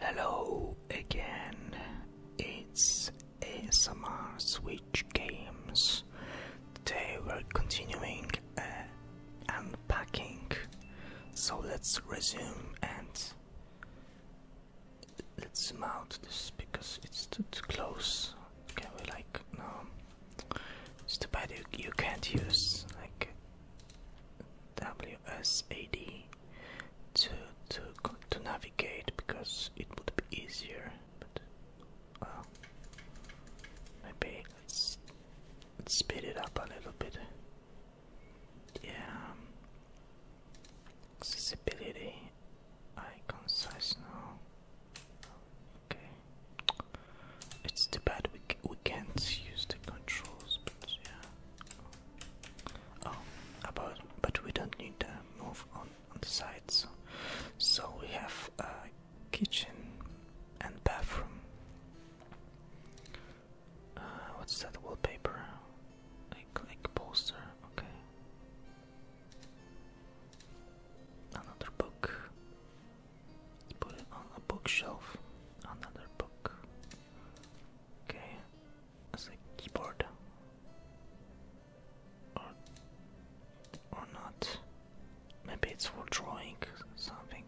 Hello again, it's ASMR Switch Games. Today we're continuing uh, unpacking, so let's resume and let's mount this because it's too, too close. Can we like, no, it's too bad you, you can't use like WSAD to to to navigate because it would be easier. But uh, maybe let's, let's speed it up a little bit. Yeah, um, accessibility icons size now. Okay, it's too bad we we can't use the controls, but yeah. Oh, about but we don't need to move on on the sides. So we have a kitchen and bathroom. Uh, what's that wallpaper? Like like poster. Okay. Another book. put it on a bookshelf. Another book. Okay, as a keyboard or or not. Maybe it's for drawing something.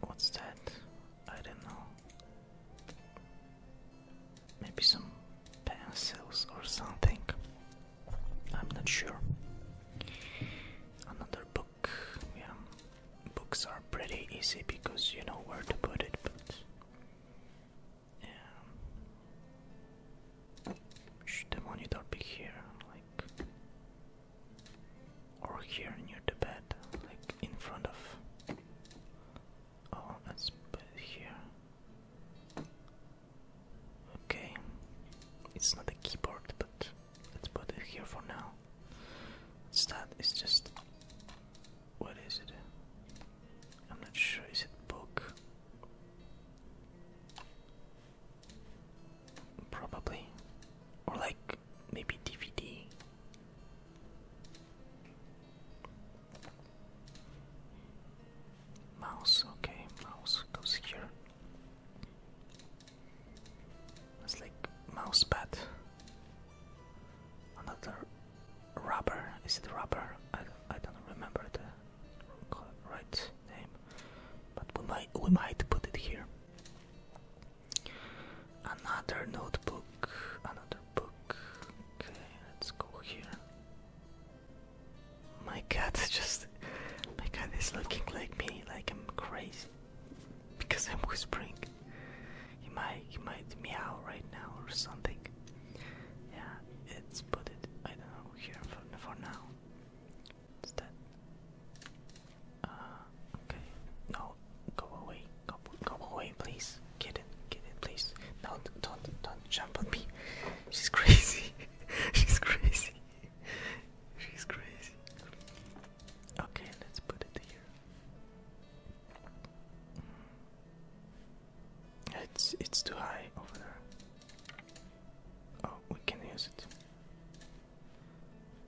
What's that? I don't know. Maybe some pencils or something. I'm not sure. Another book. Yeah, books are pretty easy because you know where to put it, but. Should the monitor be here? Like. Or here near the bed? Like in front of. Oh, let's put it here. Okay. It's not a keyboard, but let's put it here for now. Stat is just what is it? I'm not sure. Is it book? Probably, or like maybe DVD. Mouse, okay, mouse goes here. It's like mouse pad. Another rubber. Is it rubber? I don't, remember the right name, but we might we might put it here. Another notebook. Another book. Okay, let's go here. My cat just. My cat is looking like me, like I'm crazy because I'm whispering. He might he might meow right now or something. Yeah, let's put it I don't know here for now. Is that uh, okay. No, go away. Go go away please. Get it, get it please. No don't don't jump on me. She's crazy. She's crazy. She's crazy. Okay, let's put it here. It's it's too high over there. Oh, we can use it.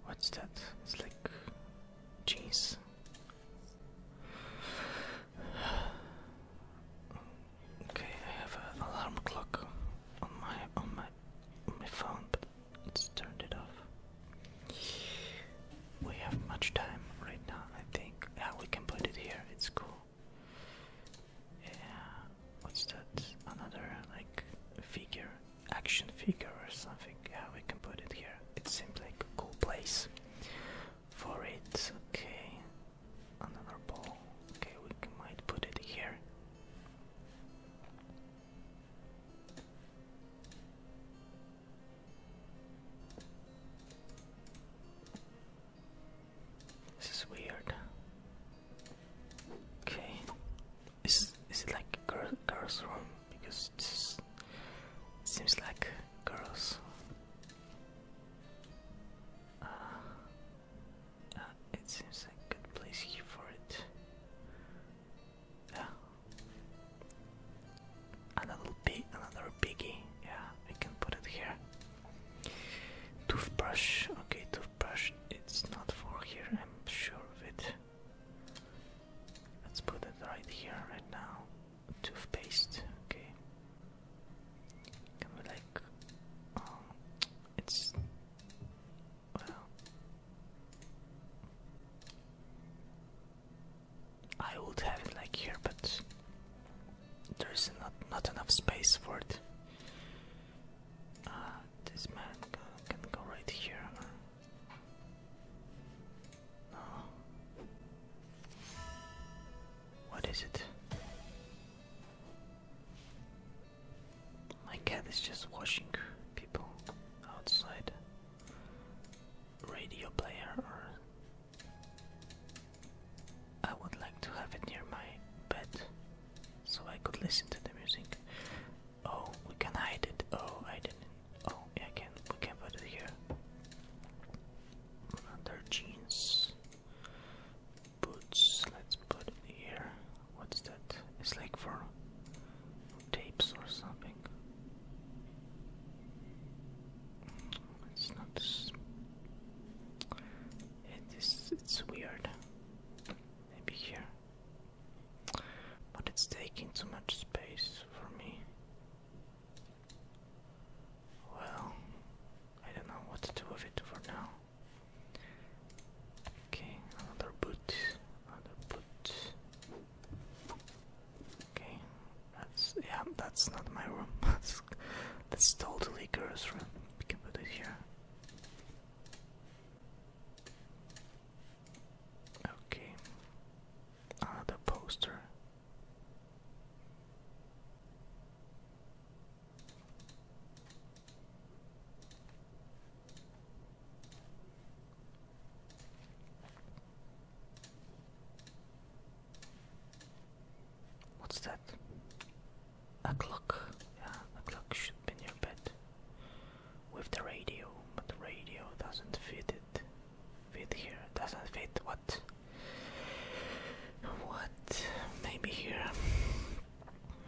What's that? It's like cheese. Okay, I have an alarm clock on my on my my phone, it's turned it off. We have much time right now, I think. Yeah, we can put it here. It's cool. Yeah, what's that? Another like figure, action figure or something. Yeah, we can put it here. It seems like a cool place for it. Okay, another ball. Okay, we might put it here. This is weird. Okay, is is it like girls' room? Because it seems like girls. Uh, uh it seems like good place here for it another piggy. Yeah, we can put it here. Toothbrush. Okay, toothbrush. It's not for here. I'm sure of it. Let's put it right here, right now. Toothpaste. Okay. Can we like? Um, it's I would have it like here, but there's not not enough space for it. Uh, this man can go right here. Uh, no. What is it? My cat is just watching people outside radio player or I would like to have it near my bed so I could listen to the music. Oh, we can hide it. Oh, I didn't. Oh, yeah, I can. We can put it here. Under jeans, boots. Let's put it here. What's that? It's like for tapes or something. It's not. It is. It's weird. Maybe here, but it's taking too much space for me. Well, I don't know what to do with it for now. Okay, another boot, another boot. Okay, that's yeah, that's not my room. that's that's totally girl's room. We can put it here. Okay, another ah, poster. What's that? A clock. Yeah, a clock should be near bed. With the radio, but the radio doesn't fit it. Fit here. Doesn't fit what? What? Maybe here.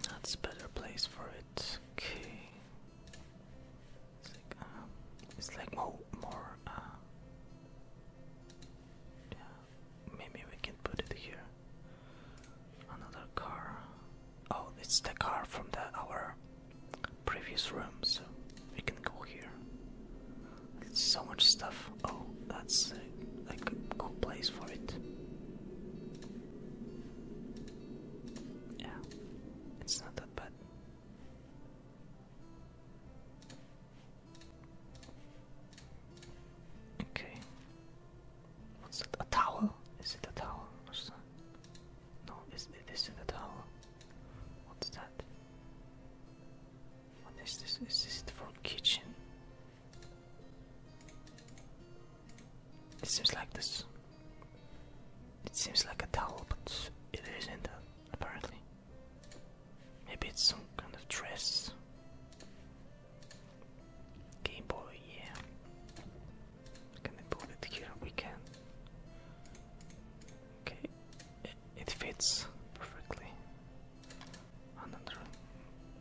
That's better place for it. Okay. It's like um, it's like more more uh, yeah. Maybe we can put it here. Another car. Oh, it's the car from the our previous room, so we can go here. so much stuff. Oh, that's a, uh, like a cool place for it. Yeah, it's not that bad. Okay. What's that? A towel? Is it a towel or No, is it isn't a towel. What's that? What is this? Is this for kitchen? It seems like this. It seems like a towel, but it isn't apparently. Maybe it's some kind of dress. Game Boy, yeah. Can I put it here? We can. Okay, it, fits perfectly. Another,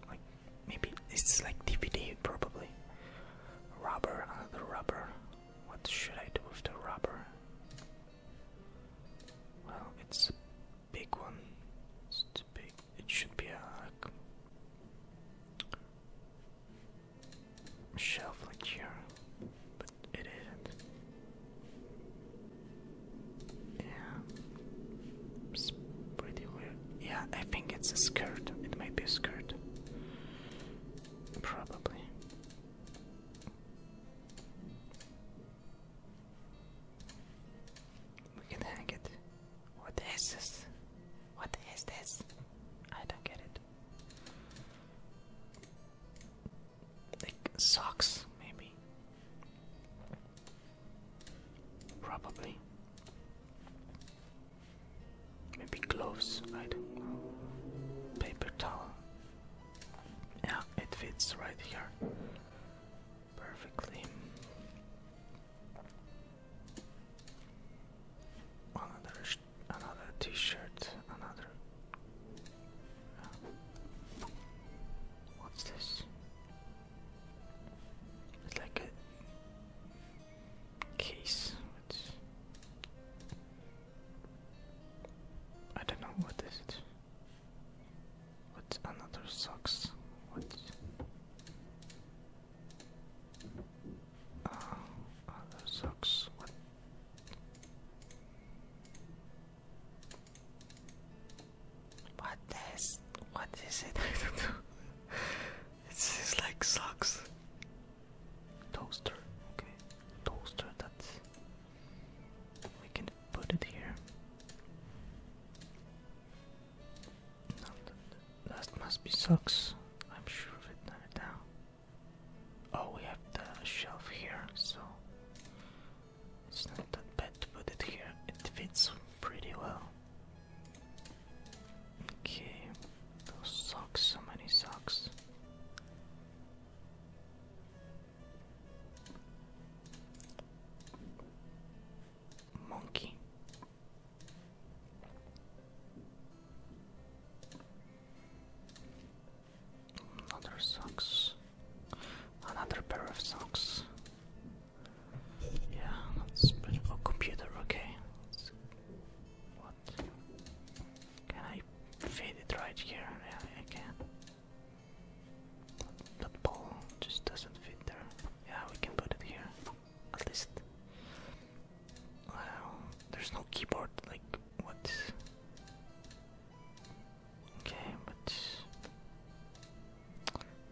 like, maybe it's like DVD, probably. Rubber, another rubber. What should I do with the rubber? Well, it's a big one. It should be a shelf like here, but it isn't. Yeah, it's pretty weird. Yeah, I think it's a skirt. It might be a skirt. Probably. We can hack it. What is this? What is this? I don't get it. Like socks, maybe. Probably. Maybe gloves, I don't know. Paper towel. Yeah, it fits right here perfectly. Another another T-shirt, another. what's this? It's like a case. I don't know what is it. What another socks? What? Uh, socks? What? What is? What is it? I don't know. It seems like socks. Toaster. Okay. Toaster. That's we can put it here. that must be socks. I'm sure of it now. Oh, we have the shelf here, so it's not that bad to put it here. It fits pretty well. Okay, those socks, so many socks. Monkey. Another socks. Another pair of socks. Yeah, that's pretty. Oh, computer. Okay. Can I fit it right here? Yeah, I can. But the just doesn't fit there. Yeah, we can put it here. At least. Well, there's no keyboard. Like, what? Okay, but.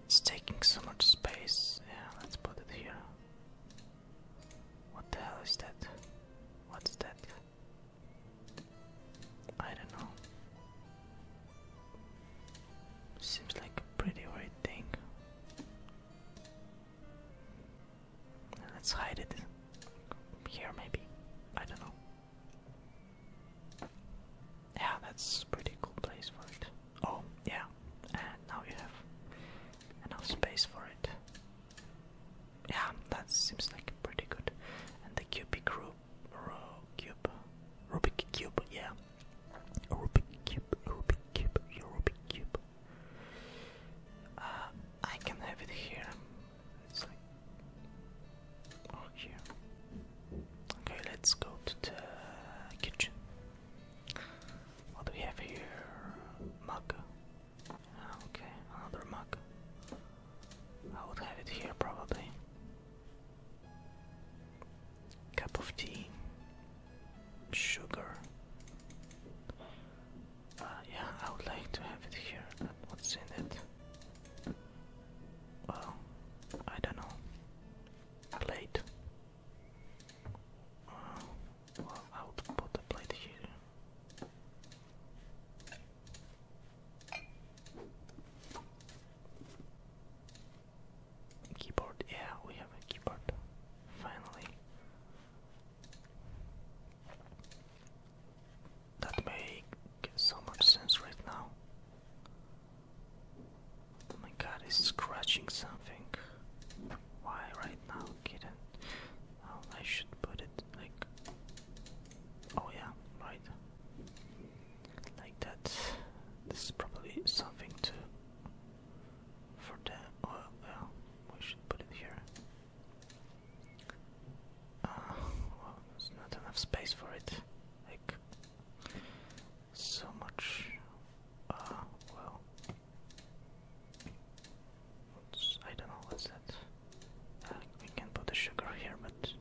It's taking so much space. Yeah, let's put it here. What the hell is that? What's that? I don't know. Seems like a pretty weird thing. Let's hide it here, maybe. I don't know. Yeah, that's pretty cool place for it. Oh, yeah, and now you have enough space for it. Yeah, that seems like pretty good. And the cubic group, cube, Rubik cube, yeah, Rubik cube, Rubik cube, Rubik cube. Uh, I can have it here. It's oh, here. Okay, let's go to the kitchen. What do we have here? Mug. Okay, another mug. I would have it here probably. Cup of tea, sugar. Uh, yeah, I would like to have it here. what's in it? Well, I don't know. plate. Uh, well, I would put a plate here. Keyboard, yeah, we have a keyboard. Finally. That makes so much sense right now. Oh my god, it's scratching something. Why right now, kitten? Oh, I should put it like Oh yeah, right. Like that. This is probably something to for them. Oh, well, we should put it here. Uh, well, there's not enough space for it. Like so much. Uh, well, what's, I don't know what's that. Uh, we can put the sugar here, but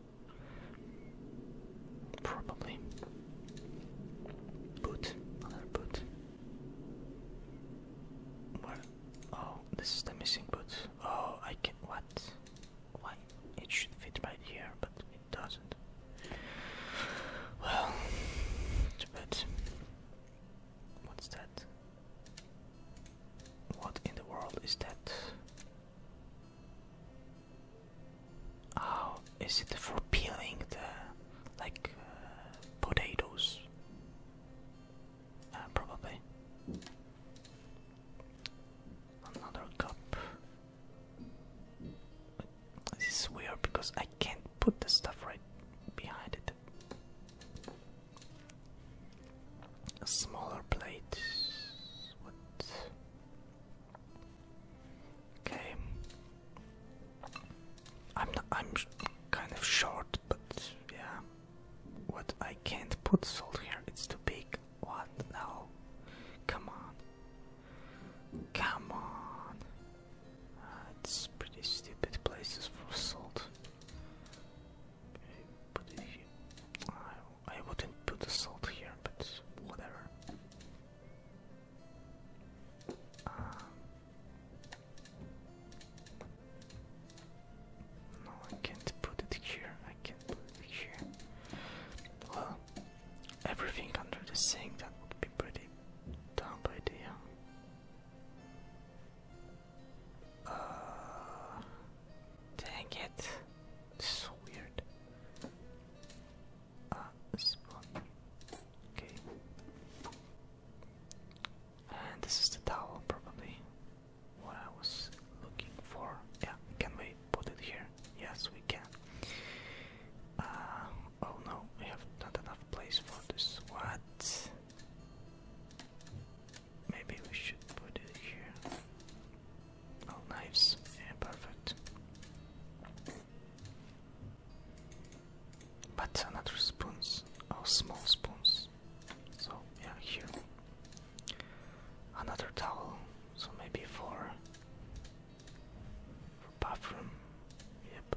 probably boot, another boot. Where? Oh, this is the missing boot. Oh, I can. What? Why? It should fit right here, but it doesn't. Well, too What's that? What in the world is that? Oh, is it for peeling the like uh, potatoes? Uh, probably. Another cup. This is weird because I can't put the stuff right behind it. A smaller plate. What? Okay. I'm not, I'm kind of short, but yeah. What? I can't put salt here. It's too big. What? No. Come on. Come on. Uh, it's pretty stupid places for salt. Put it here. I, I wouldn't put the salt here, but whatever. Uh, no, I can't put it here. I can't put it here. Well, everything under the sink that would be pretty dumb idea. Uh, dang it. This is weird. Uh, okay. And this is the towel, probably. What I was looking for. Yeah, can we put it here? Yes, we can. Uh, oh no, we have not enough place for this. What? Maybe we should put it here. Oh, knives. Yeah, perfect. But another spoons. Oh, small spoons. So, yeah, here. Another towel. So maybe for, for bathroom. Yep.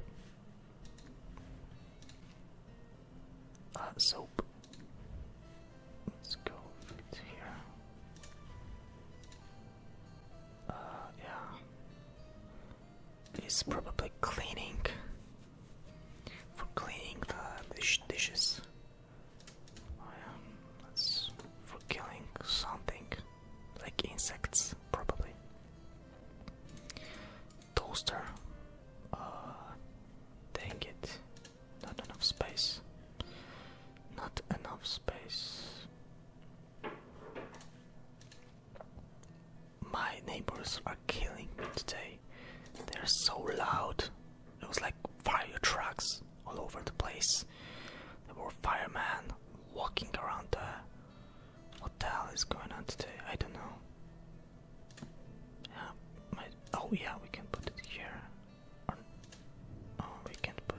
Uh, so Nope. Let's go if here. Uh, yeah. It's probably cleaning. For cleaning the dishes. Oh, yeah. for killing something. Like insects, probably. Toaster. Uh, dang it. Not enough space. Not enough space. My neighbors are killing me today. They're so loud. It was like fire trucks all over the place. There were firemen walking around there. What the hell is going on today? I don't know. oh yeah, we can put it here oh, we can't put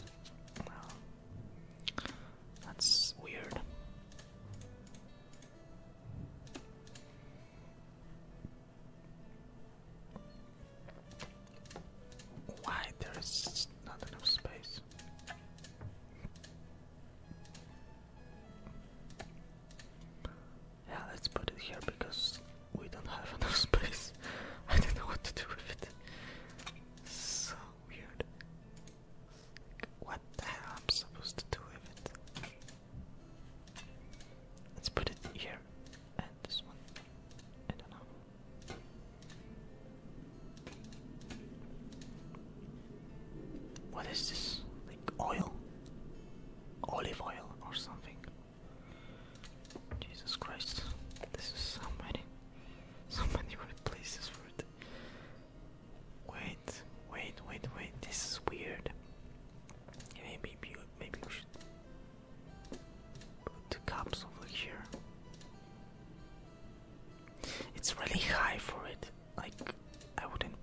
That's weird. Why there is not enough space? Yeah, let's put it here because we don't have enough space. I don't know what to do with it. So weird. What the hell am i supposed to do with it? Let's put it here and this one. I don't know. What is this? Like oil? Olive oil or something? Jesus Christ, this is so many, so many weird places for it. Wait, wait, wait, wait, this is weird. Maybe, maybe we should put the cups over here. It's really high for it, like, I wouldn't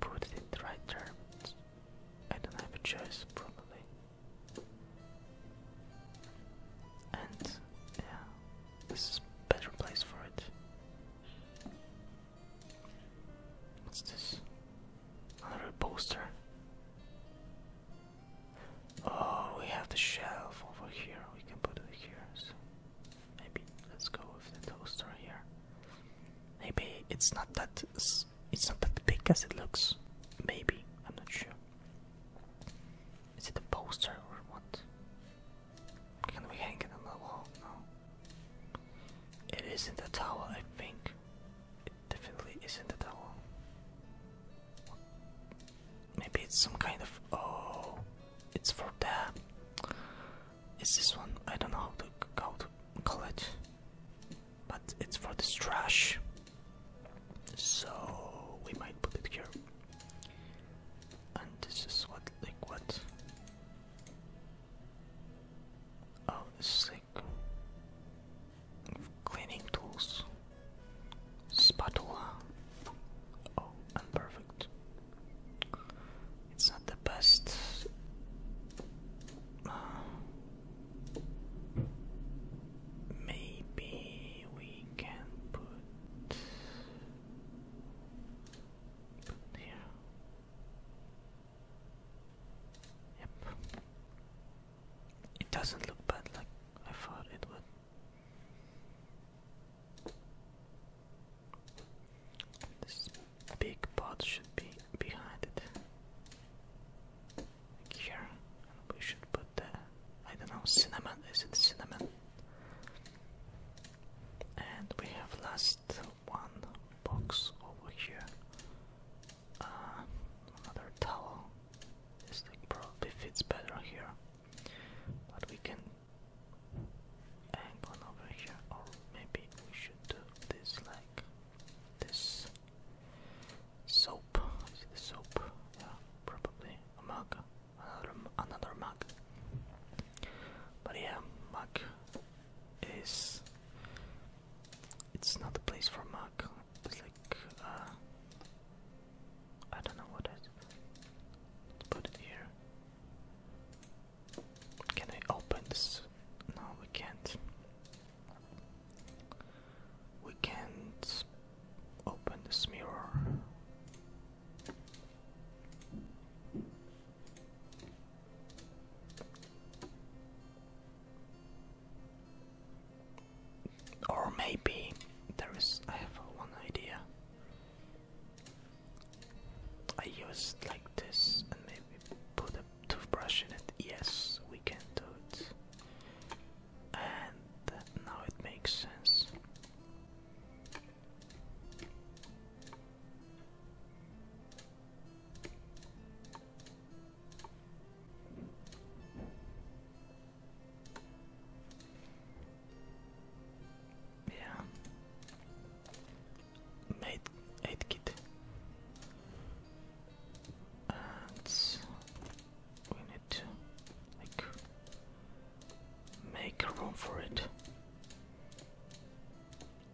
put it right there. I don't have a choice, probably. And yeah, this is better place for it. What's this? Another poster. Oh, we have the shelf over here. We can put it here. So maybe let's go with the toaster here. Maybe it's not that it's not that big as it looks. Maybe I'm not sure. Is it a poster or what? Can we hang it on the wall? No. It isn't a tower. I think. It definitely isn't a tower. Maybe it's some kind of oh, it's for that. It's this one. I don't know how to how to call it but it's for this trash so we might put it here and this is what like what oh this is like cleaning tools spatula oh perfect. it's not the best uh, Maybe we can put, put here. Yep. It doesn't look bad like I thought it would. This big pot should be behind it here. We should put the I don't know cinnamon. Is it cinnamon? And we have last one box over here. Uh, another towel. This probably fits better here, but we can hang one over here, or maybe we should do this like this soap. Is it the soap? Yeah, probably a mug. Another, another mug. But yeah, mug is. It's not a place for mug. It's like. Uh, I don't know what is. Let's put it here. Can I open this? No, we can't. We can't open this mirror. Or maybe there is. I have one idea. I use like this and maybe put a toothbrush in it. Yes, we can do it and now it makes sense. Yeah. Made eight kit. And we need to make a room for it.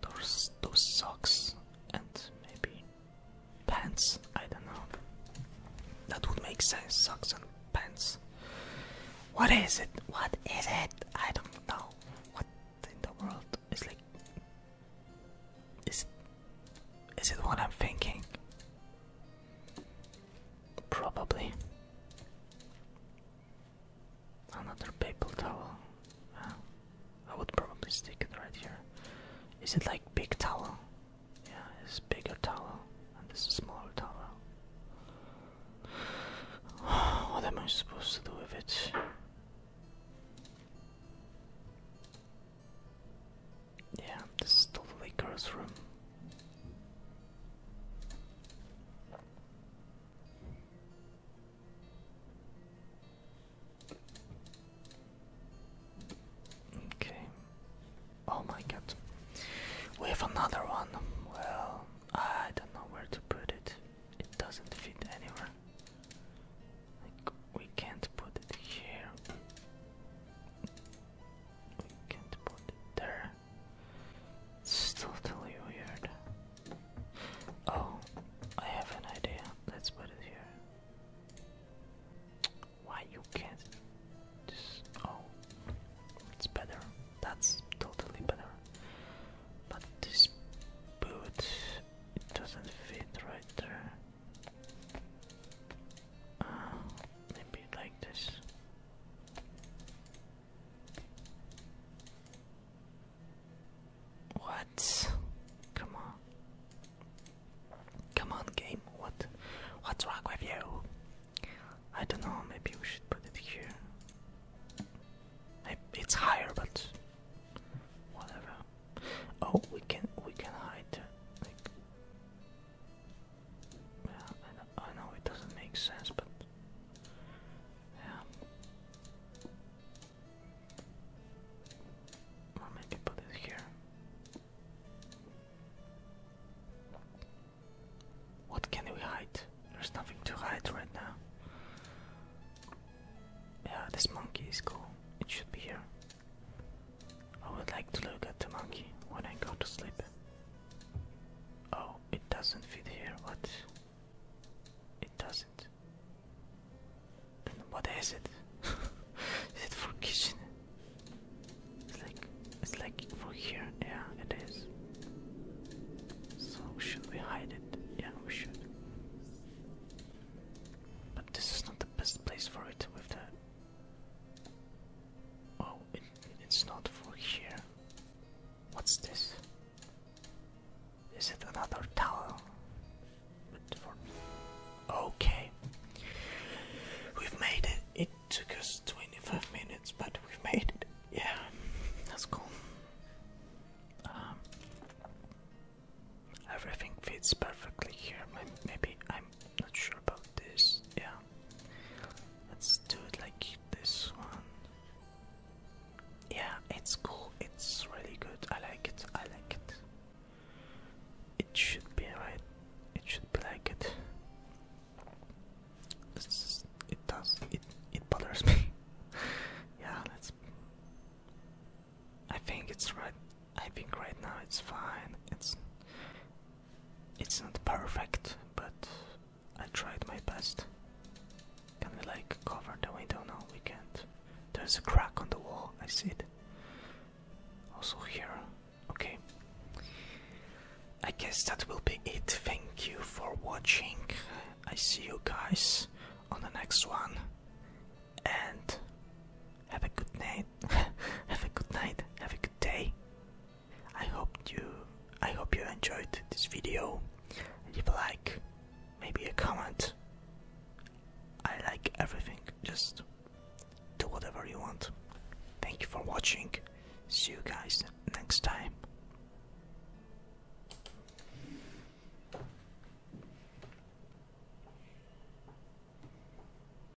Those those socks and maybe pants. I don't know. That would make sense. Socks and pants. What is it? What is it? I don't know. What in the world is like? Is is it what I'm thinking? Probably. Another papal towel. I would probably stick it right here. Is it like big towel? Yeah, it's bigger towel and this is smaller towel. What am I supposed to do with it? Yeah, this is totally girls' room. Okay. Oh my god. We have another one. Well, I don't know where to put it. It doesn't fit anywhere we can't put it here. We can't put it there. It's totally weird. Oh, I have an idea. Let's put it here. Why you can't oh it's better. That's totally better. But this boot it doesn't fit right there. Uh, maybe like this. What? Come on. Come on game, what what's wrong with you? I don't know, maybe we should put it here. It's higher but whatever. Oh we can we can hide well, I know, it doesn't make sense, but yeah. Or maybe put it here. What can we hide? There's nothing to hide right now. Yeah, this monkey is cool. It should be here. I would like to look at the monkey when I go to sleep. Oh, it doesn't fit here, what? It doesn't. Then what is it? is it for kitchen? It's like it's like for here, yeah it is. So should we hide it? Yeah we should. But this is not the best place for it with the Oh, it's not for here. What's this? Is it another towel? Okay. We've made it. It took us 25 minutes, but we've made it. Yeah, that's cool. Um, everything fits perfectly here. Maybe I am I'm not sure about this. Yeah. Let's do it like this one. Yeah, it's cool. It's really good. I like it. I like it. It should be right. It should be like it. it does. It it bothers me. yeah, let's. I think it's right. I think right now it's fine. It's it's not perfect, but I tried my best. Can we like cover the window? now? we can't. There's a crack on the wall, I see it. Also here. Okay. I guess that will be it. Thank you for watching. I see you guys on the next one. And have a good night. Have a good night. Have a good day. I hope you I hope you enjoyed this video. Leave a like, maybe a comment. I like everything. Just do whatever you want. Thank you for watching. See you guys next time.